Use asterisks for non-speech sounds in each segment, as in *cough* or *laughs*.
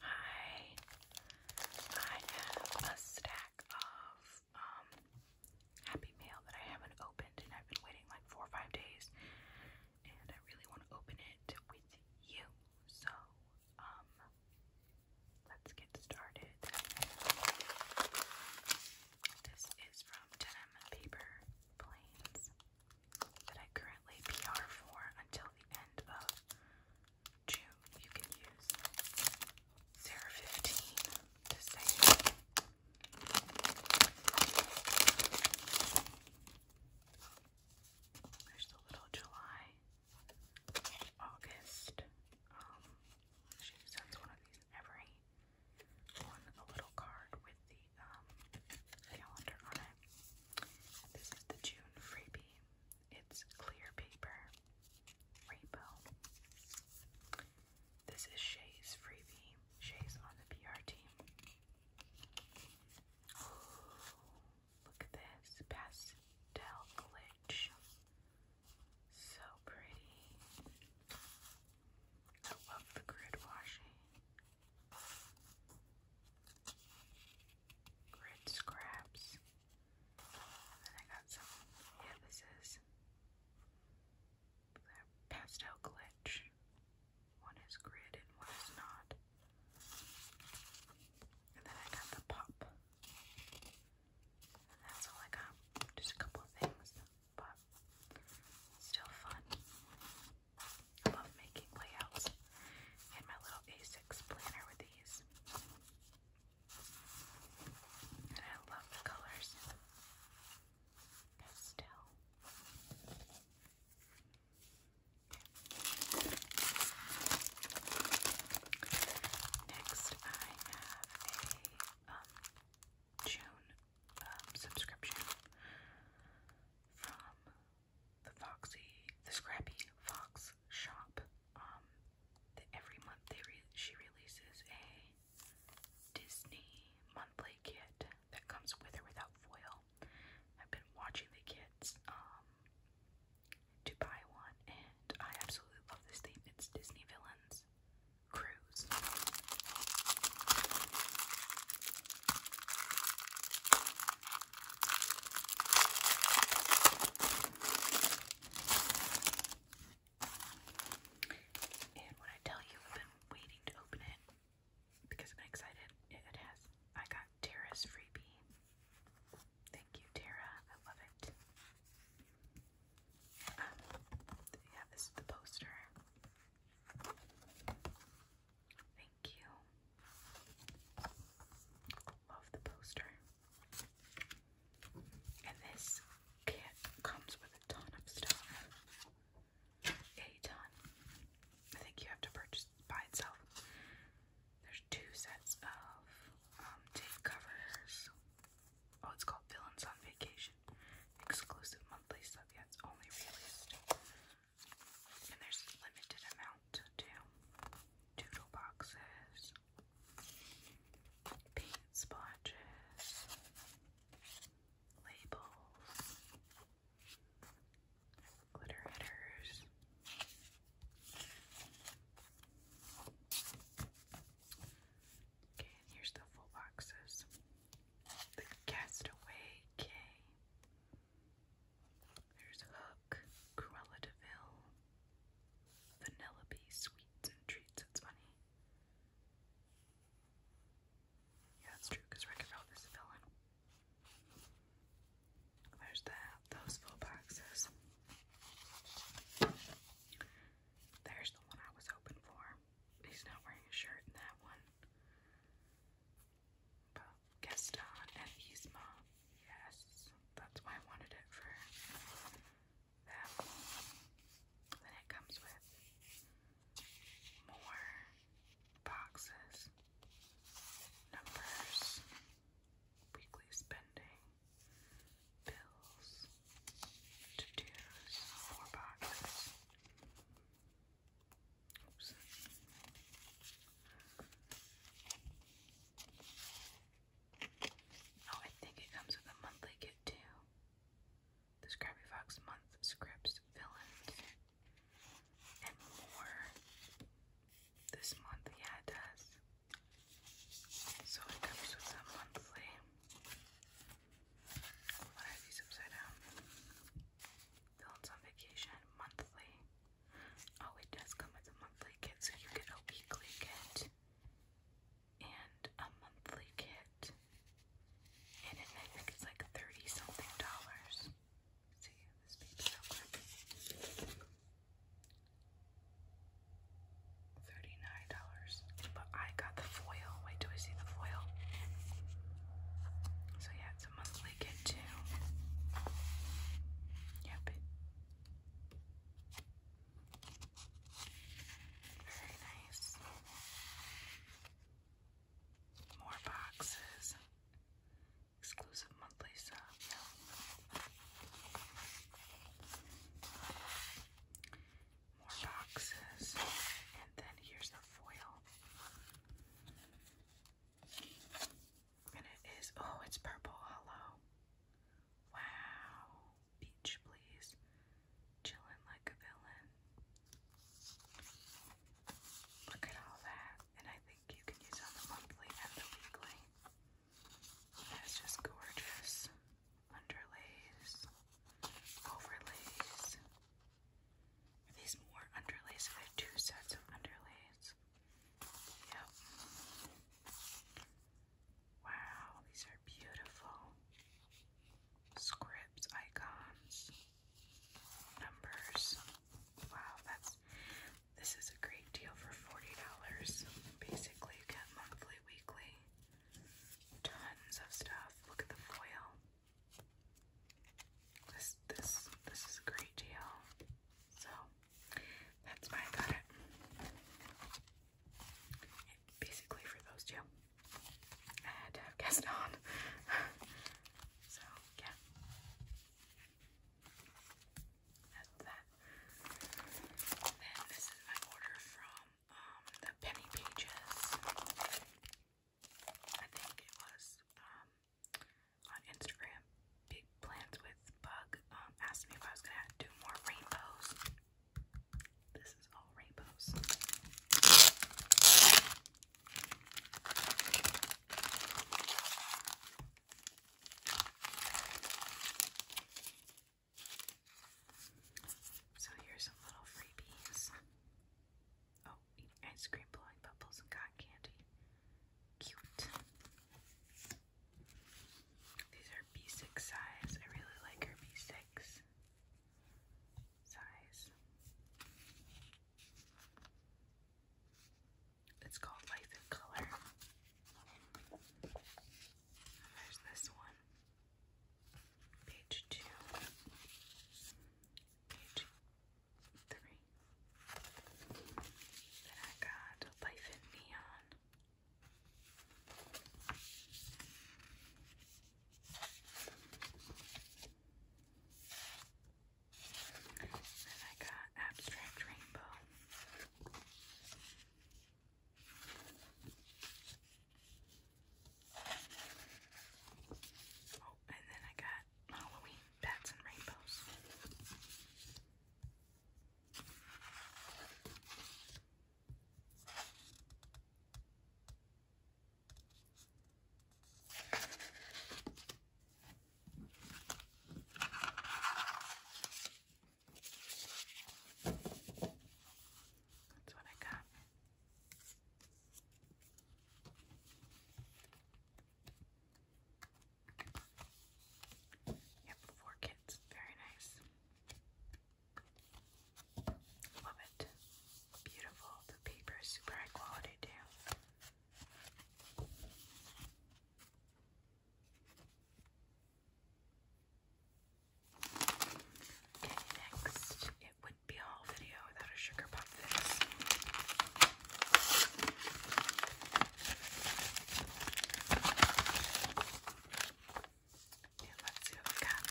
Hi. I have a stack of um Happy Mail that I haven't opened and I've been waiting like four or five days and I really want to open it with you. So um let's get started. This is from Denim Paper Planes that I currently PR for until the end of June. You can use Sarah to save. There's the little July, August. Um, she sends one of these every on a little card with the um, calendar on it. This is the June freebie. It's clear paper, rainbow. This is Shay's freebie. Shay's on the PR team. look at this pastel glitch. So pretty. I love the grid washing grid scraps. then I got some, yeah, this is pastel glitch. One is grid and one is not. And then I got the pop. And that's all I got. Just a couple of things, but still fun. I love making layouts and my little A6 planner with these. I love the colors. Pastel. Next, I have a um, June um, subscription from the Foxy, the Scrappy Fox shop. Um, every month they re she releases a Disney monthly kit that comes with or without foil. I've been watching the kits um, to buy one, and I absolutely love this theme. It's Disney Villains Cruise. And when I tell you I've been waiting to open it because I've excited, it has. I got Tara's freebie. Thank you, Tara. I love it. Um, yeah, this is the poster. Thank Love the poster. And this kit comes with a ton of stuff. A ton. I think you have to purchase by itself. There's two sets of um, tape covers. Oh, it's called Villains on Vacation. Exclusive monthly stuff. Yeah, it's only released and there's a limited amount too. Doodle boxes, paint splotches, labels, glitter hitters. Okay, and here's the full boxes. The Castaway K. There's Hook, Cruella de Vil, Sweets and Treats. It's funny. Yeah, that's true, because Wreck-It is a villain. There's that, those full boxes. There's the one I was hoping for. He's not wearing a shirt that one. Gaston and Yzma. Yes, that's why I wanted it for that. Then it comes with more boxes, numbers, weekly spending, bills, to-dos, more boxes. Oh, I think it comes with a monthly kit too. The Scrappy Fox month scripts, villains, and more. This month, yeah, it does. So it comes with a monthly. What are these upside down? Villains on vacation monthly. Oh, it does come with a monthly kit, so you get a weekly kit and a monthly kit. And it, I think it's like 30 something dollars. let see, this page so quick. $39. But I got the foil. Wait, do I see the foil? So yeah, it's a monthly get too. Yep. Very nice. More boxes. Exclusive monthly sub. More boxes. And then here's the foil. And it is, oh, it's purple hollow. Wow. Beach, please. Chillin' like a villain. Look at all that. And I think you can use on the monthly and the weekly. That's just gorgeous. Underlays, overlays, these more underlays? I have two sets of underlays. Yep. Wow, these are beautiful. Scripts, icons, numbers. Wow, that's this is a great deal for forty dollars. Basically, you get monthly, weekly, tons of stuff. Look at the foil. This this this is a great deal. So that's why I got it. Basically for those two. I had to have guests *laughs* so yeah. then this is my order from um, the Penny Pages. I think it was um, on Instagram, Big Plans with Bug um, asked me if I was gonna do more rainbows. This is all rainbows. So here's some little freebies. Oh, ice cream, blowing bubbles, and cotton candy. Cute. These are B6 size. I really like her B6 size. It's called Life in Color. There's this one. Page two. Page three. Then I got Life in Neon. Then I got Abstract Rainbow. Oh, and then I got Halloween bats and rainbows. That's what I got. Yep, four kits. Very nice. Love it. Beautiful. The paper is super high quality too. Okay, next it wouldn't be a whole video without a sugar pop fizz. let's see what we got.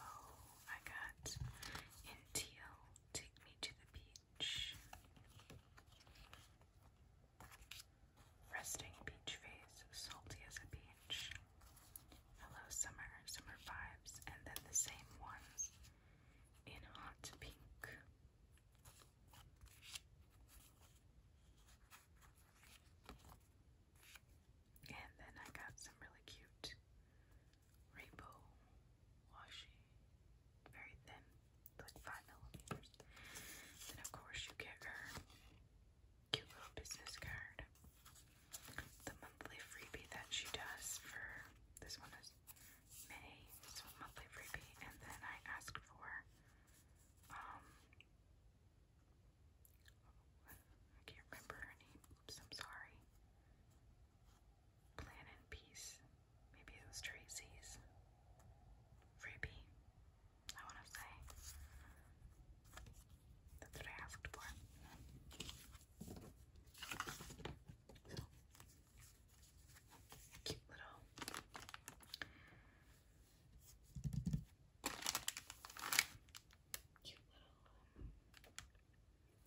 Oh, I got in teal Take me to the beach. Resting beach face, salty as a beach. Hello, summer, summer vibes, and then the same ones in hot pink. And then I got some really cute rainbow washi, very thin, like five millimeters. Then of course you get her cute little business card. The monthly freebie that she does for this one is May, so monthly freebie, and then I asked for um I can't remember her name. Oops, I'm sorry. Plan in peace. Maybe it was Tracy's. Freebie, I want to say. That's what I So, cute little cute little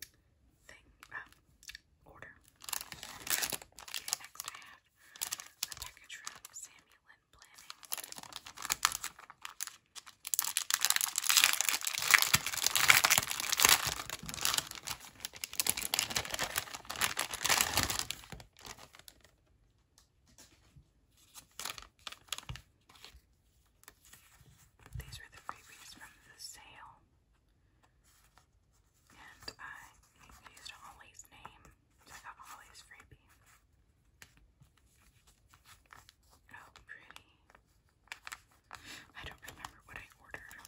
thing, uh, order. next I have a package from Samuel and These were the freebies from the sale. And I used Ollie's name, so I got freebie. Oh, pretty. I don't remember what I ordered.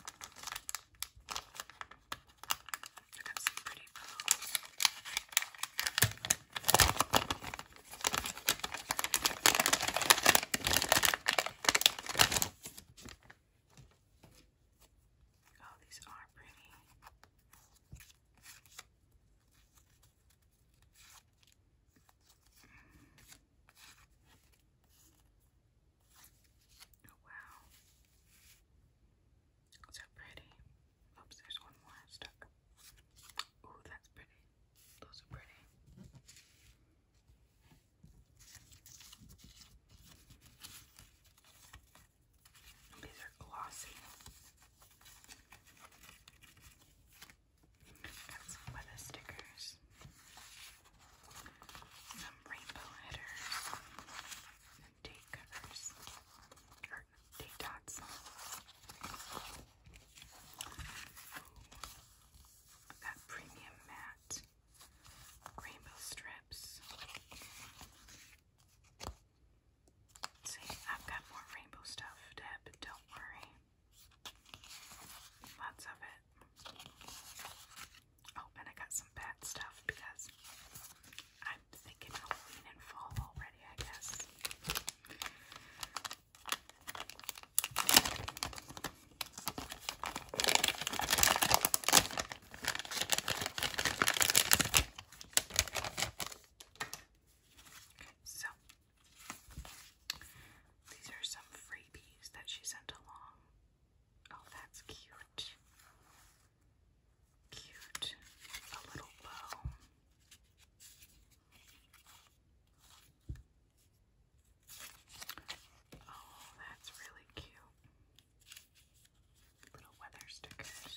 I got some pretty bows. Oh, these are pretty. Oh, wow. So pretty. Oops, there's one more stuck. Ooh, that's pretty. Those are pretty. These are glossy. Got some weather stickers, some rainbow headers, and date covers, or date dots that premium matte rainbow strips. See, I've got more rainbow stuff, Deb, don't worry. Lots of it. Oh, and I got some bad stuff because I'm thinking Halloween and fall already, I guess so these are some freebies that she sent along. Oh, that's cute. Cute. A little bow. Oh, that's really cute. Little weather stickers.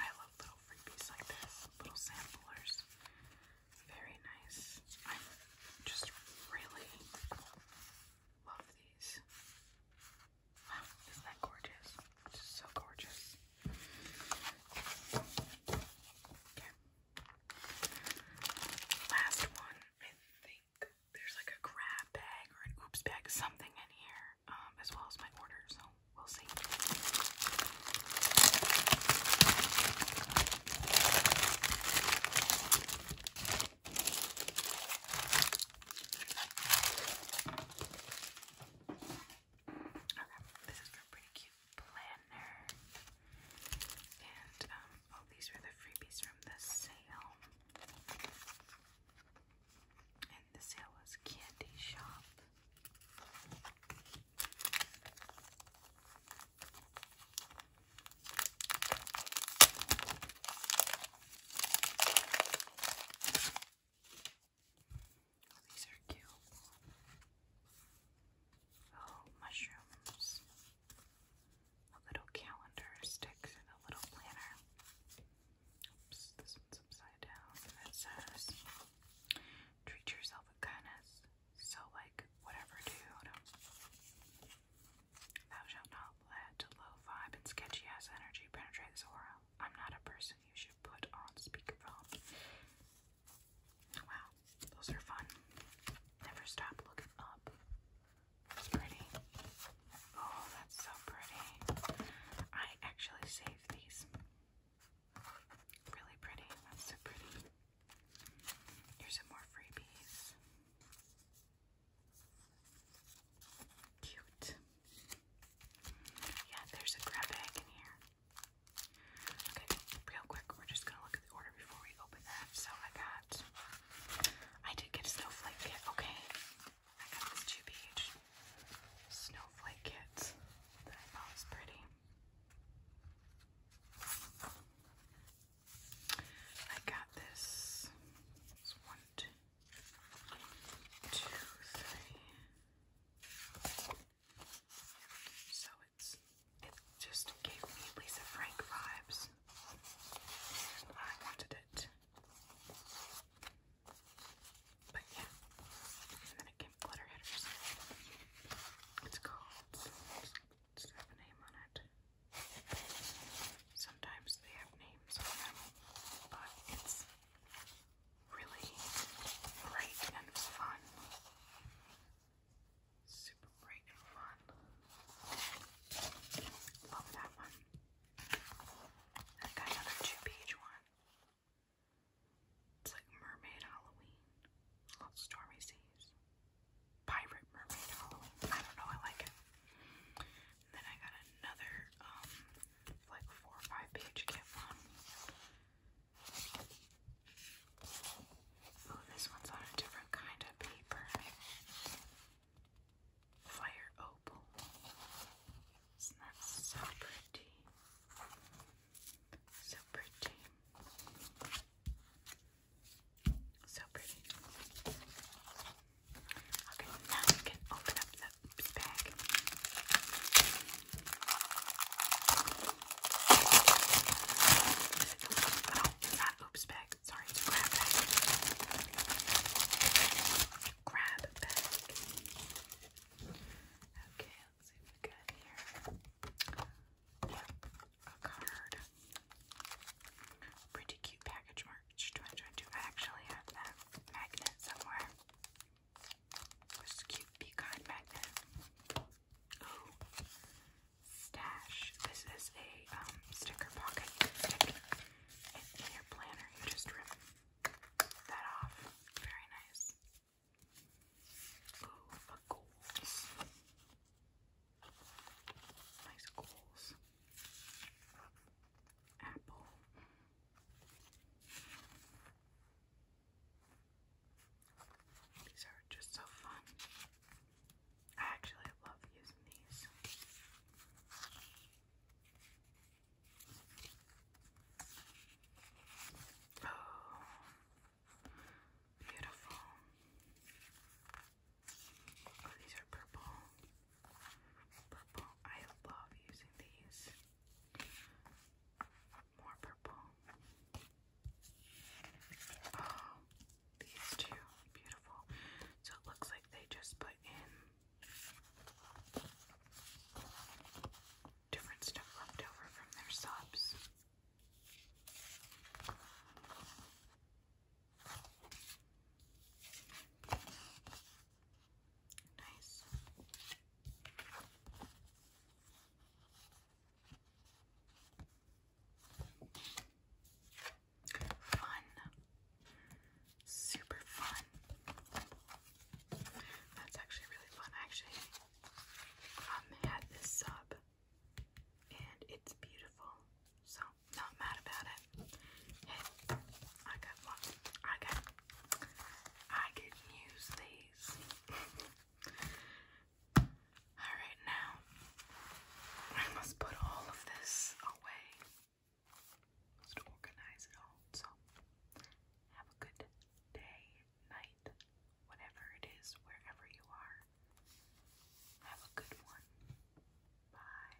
I love little freebies like this, little samplers. Very nice. I just really love these. Isn't that gorgeous? It's so gorgeous. Okay. Last one, I think there's like a grab bag or an oops bag, something in here, um, as well as my order, so we'll see. Okay, this is for a pretty cute planner. And um, oh, these were the freebies from the sale. And the sale was Candy Shop. Oh, these are cute. Oh, mushrooms. A little calendar sticks and a little planner. Oops, this one's upside down. It says, treat yourself with kindness. So, like, whatever, dude. Thou shalt not let low vibe and sketchy ass energy penetrate this aura. I'm not a person you should put on speakerphone. Wow, those are fun. Never stop looking up. It's pretty. Oh, that's so pretty. I actually saved these. Really pretty. That's so pretty. Here's some more freebies. Cute. Yeah, there's a grab bag in here. Okay, real quick, we're just gonna look at the order before we open that. So I got, I did get a snowflake kit. Okay, I got this two page snowflake kit that I thought pretty. I got this. one, two, three. So it's it just gave me Lisa Frank vibes. I wanted it. But yeah. And then it came glitter hitters. It's called it's got a name on it. Sometimes they have names on them, but it's really bright and fun. Super bright and fun. Love that one. I got another two page one. It's like Mermaid Halloween. Love Stormy Seas. Pirate Mermaid Halloween. I don't know, I like it. And then I got another, um, like four or five page kit one. Oh, this one's on a different kind of paper. Fire opal. Isn't that so pretty? So pretty. So pretty. Okay, now we can open up the oops bag. Is not oops bag. Sorry, grab bag. Grab bag. Okay, let's see what we got here. a card. Pretty cute package mark. March 2022. I actually have that magnet somewhere. This cute pecan magnet. Ooh. Stash. This is a um, sticker pocket. in your planner. You just rip that off. Very nice. Ooh, goals. Nice goals. Apple. These are just so fun. I actually love using these. Oh, beautiful. Oh, these are purple. Purple. I love using these. More purple. Oh, these two. Beautiful. So it looks like they just put in different stuff left over from their subs. Nice. Fun. Super fun. That's actually really fun. actually um, had this sub and it's beautiful. So, not mad about it. I got one. I I can use these. *laughs* all right, now I must put all of this away just organize it all. So have a good day, night, whatever it is, wherever you are. Have a good one. Bye.